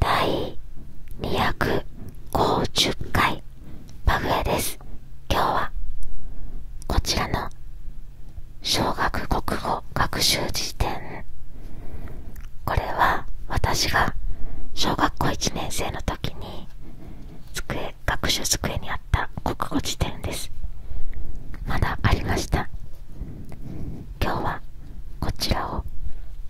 第250回パグエです今日はこちらの小学国語学習辞典これは私が小学校1年生の時に机学習机にあった国語辞典ですまだありました今日はこちらを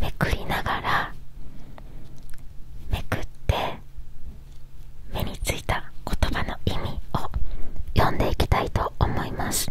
めくりながらめくって目についた言葉の意味を読んでいきたいと思います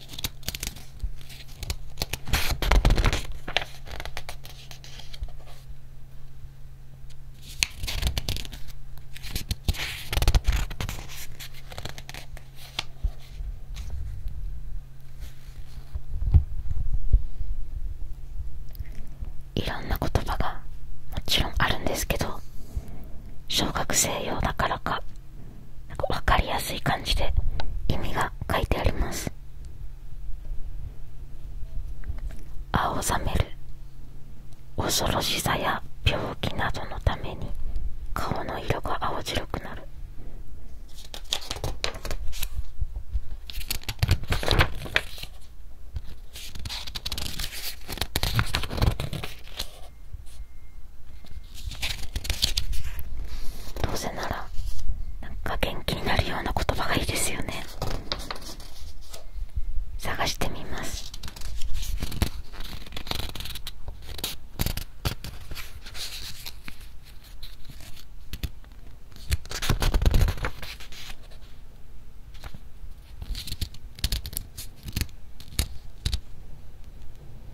いろんな言葉がもちろんあるんですけど小学生用だからかなんか分かりやすい感じで意味が書いてあります青ざめる恐ろしさや病気などのために顔の色が青白くなるどうせならなんか元気になるような言葉がいいですよね探してみます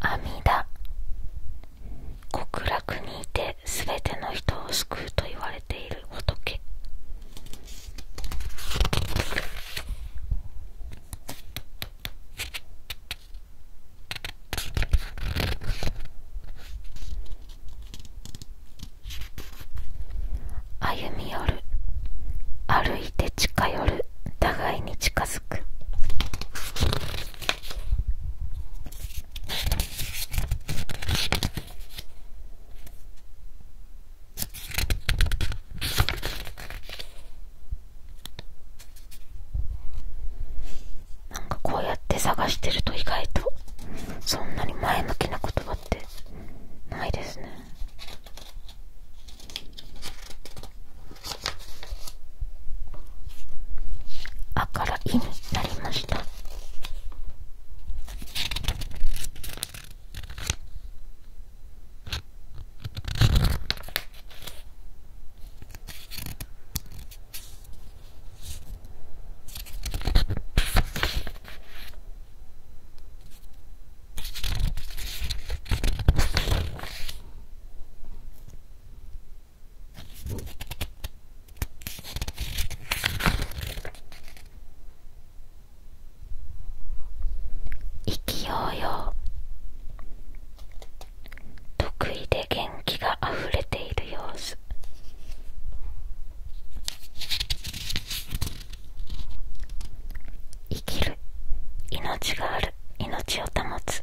阿弥陀極楽にいてすべての人を救うと言われている仏歩み寄る歩いて近寄る互いに近づくなんかこうやって探してると意外とそんなに前向きな言葉ってないですねあから「い」になりました意気揚々得意で元気があふれている様子生きる命がある命を保つ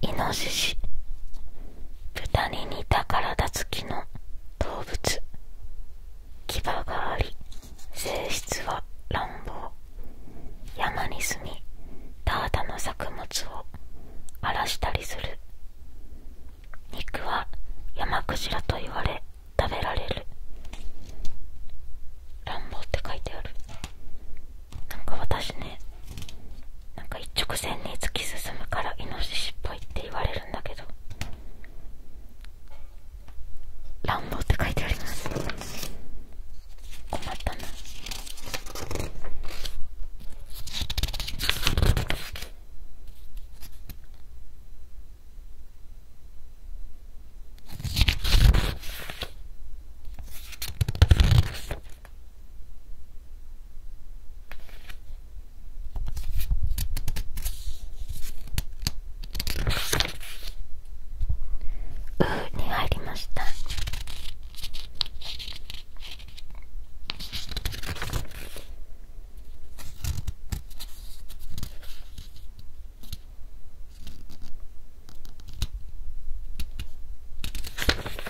イノシシ豚に似た体つきの動物牙があり性質は乱暴山に住みただの作物を荒らしたりする肉は山クジラと言われ食べられる乱暴って書いてあるなんか私ねなんか一直線に突き進むからイノシシっぽいって言われるんだけど「乱暴」って書いてあります困ったなうに入りました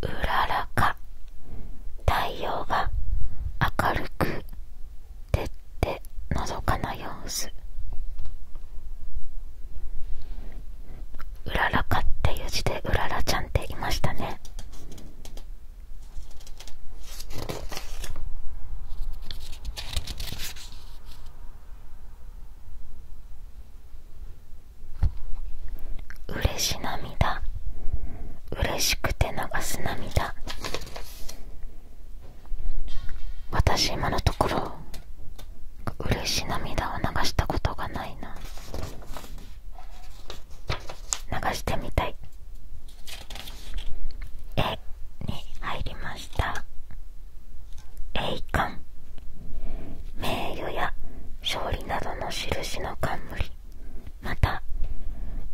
うららか太陽が明るく照ってのぞかな様子うららかっていう字でうららちゃんっていましたね嬉し涙嬉しくて流す涙私今のところ嬉し涙を流したことがないな流してみたい絵に入りました栄冠名誉や勝利などの印の冠また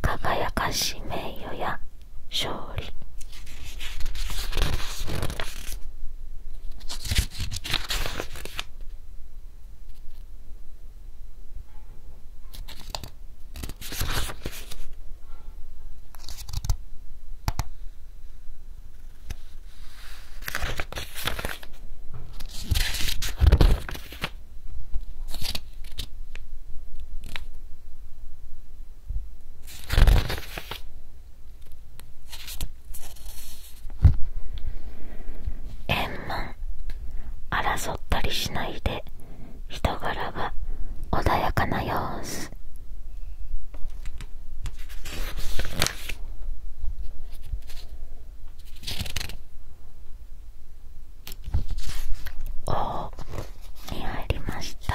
輝かし名誉や勝利円満争ったりしないで人柄は穏やかな様子おお、に入りました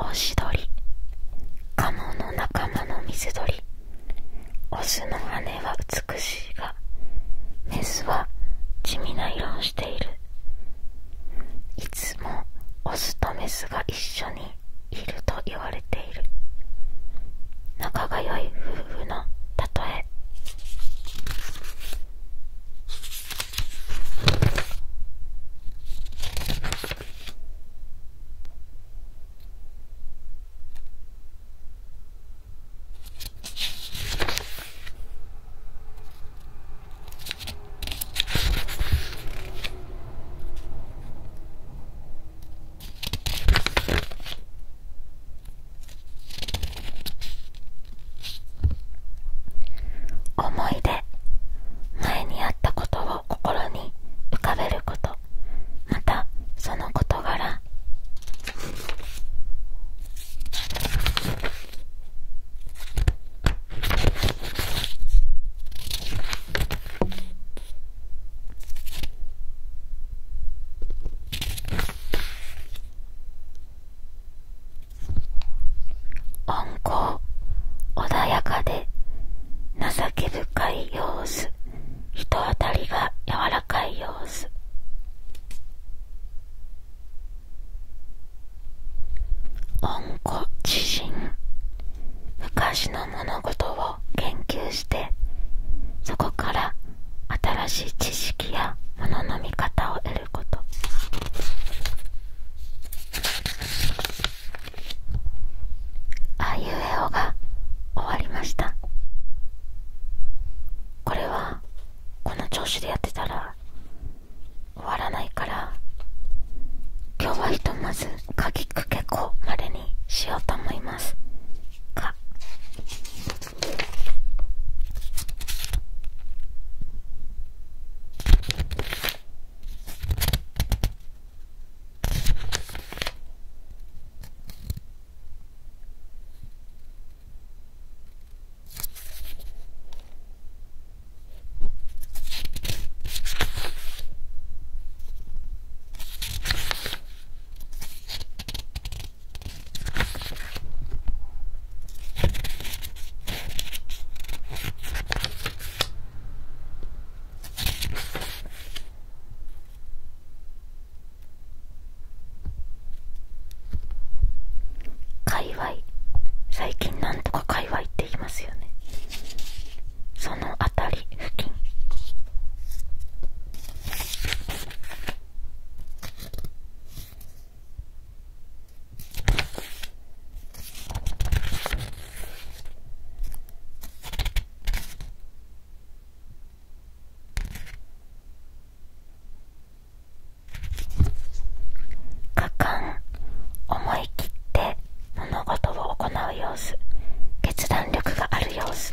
オシドリカモの仲間の水鳥オスの羽は美しいがメスは地味な色をしているいつもオスとメスが一緒に仲が良い夫婦の例とえ思い出前にあったことを心に浮かべることまたその事柄温厚穏やかで情け深い様子人当たりが柔らかい様子温故知新昔の物事を研究してそこから新しい知識やものの見方を得ることああいうえおが終わりましたこれはこの調子でやってたら終わらないから今日はひとまずかけこまでにしようと思いますか界隈最近なんとか界隈って言いますよねその辺り付近かん。思い切って物事を行う様子決断力がある様子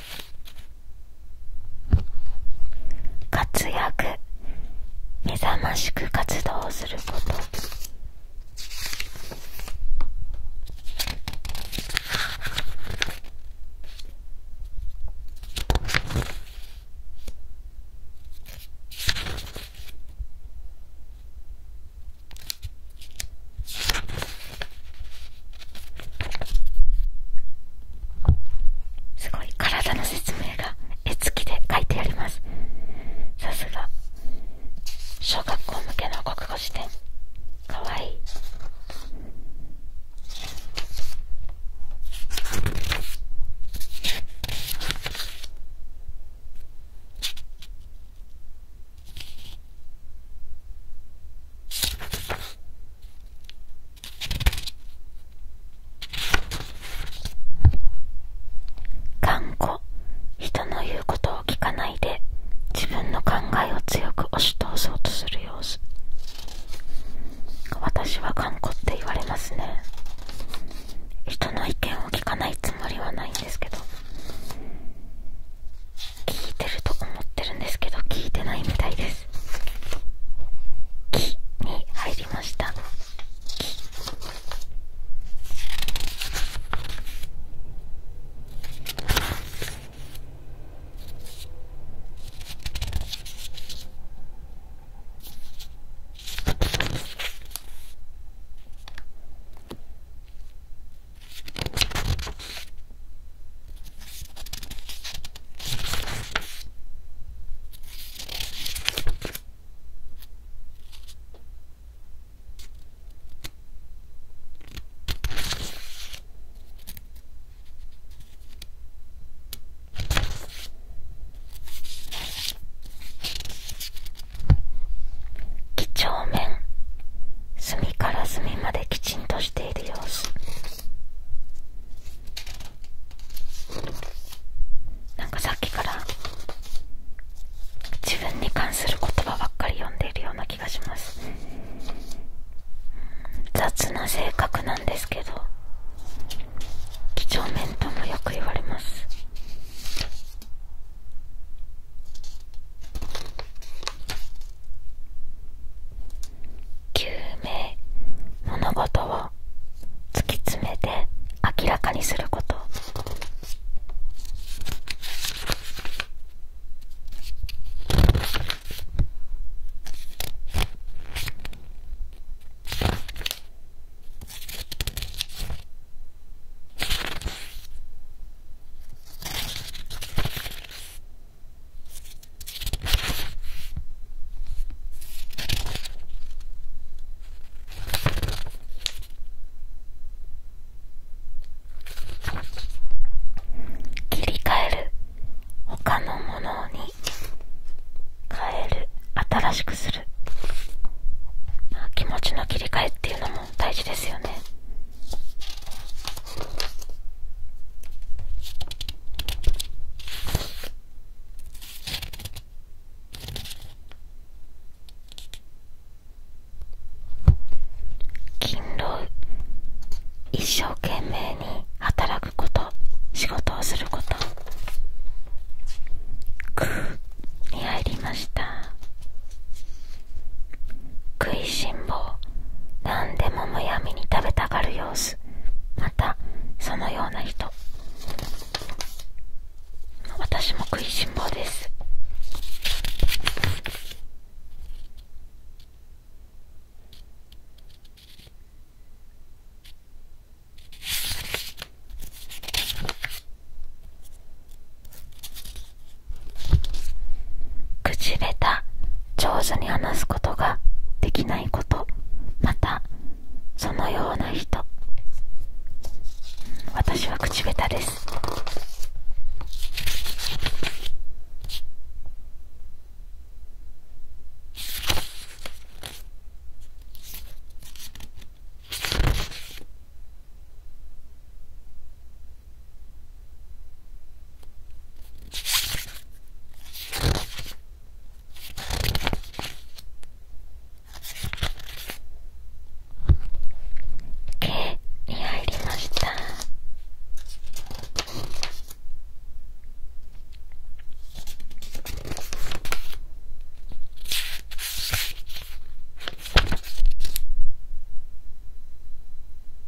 活躍目覚ましく活動することすごい体の説明が絵付きで書いてありますさすが小学校向けの国語辞典かわいい頑固人の言うことを聞かないで自分の考えを強く押し通そうとする様子私は頑固って言われますね人の意見を聞かないつもりはないんですけど聞いてると思ってるんですけど聞いてないみたいです「き」に入りました「き」几帳面隅から隅まできちんとし。をしている様子なんかさっきから自分に関する言葉ばっかり読んでいるような気がします雑な性格なんですけど几帳面ともよく言われます救命物事を突き詰めて明らかにすること切り替える他のものに変える新しくする、気持ちの切り替えっていうのも大事ですよね勤労一生懸命に働くこと仕事をすること「く」に入りました食いしん坊何でもむやみに食べたがる様子またそのような人私も食いしん坊です口下手上手に話すことができないことまたそのような人私は口下手ですに入りました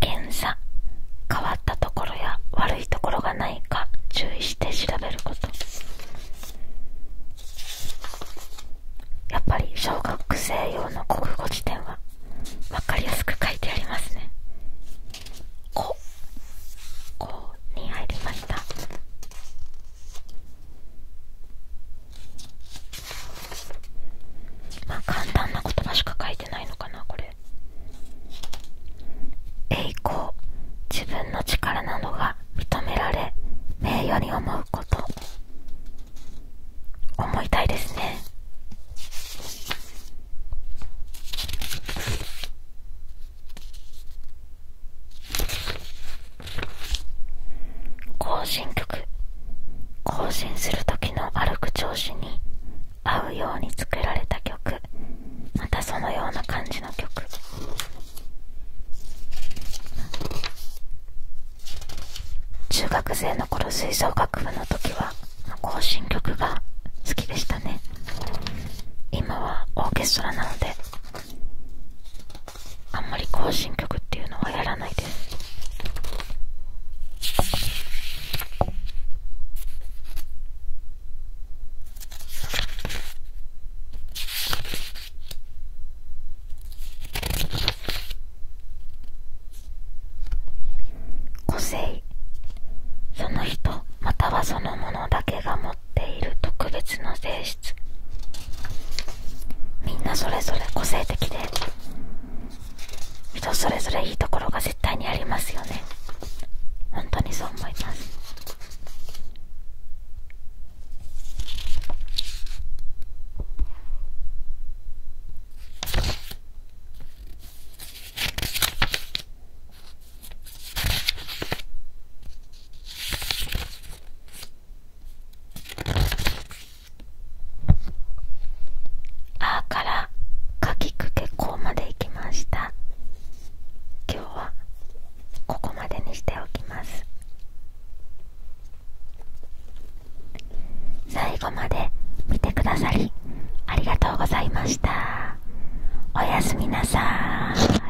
検査変わったところや悪いところがないか注意して調べることやっぱり小学生用の国語辞典は分かりやすく書いてありますね「こ」「こ」に入りましたま簡単な言葉しか書いてないのかなこれ栄光自分の力などが認められ名誉に思うこと思いたいですね行進曲行進する時の歩く調子に合うように作られた曲またそのような感じの曲中学生の頃吹奏楽部の時は行進曲が好きでしたね今はオーケストラなのであんまり行進曲っていうのはやらないです個性その人またはそのものだけが持っている特別の性質みんなそれぞれ個性的で人それぞれいいところが絶対にありますよね本当にそう思いますあからかきくけこうまでいきました今日はここまでにしておきます最後まで見てくださりありがとうございましたおやすみなさい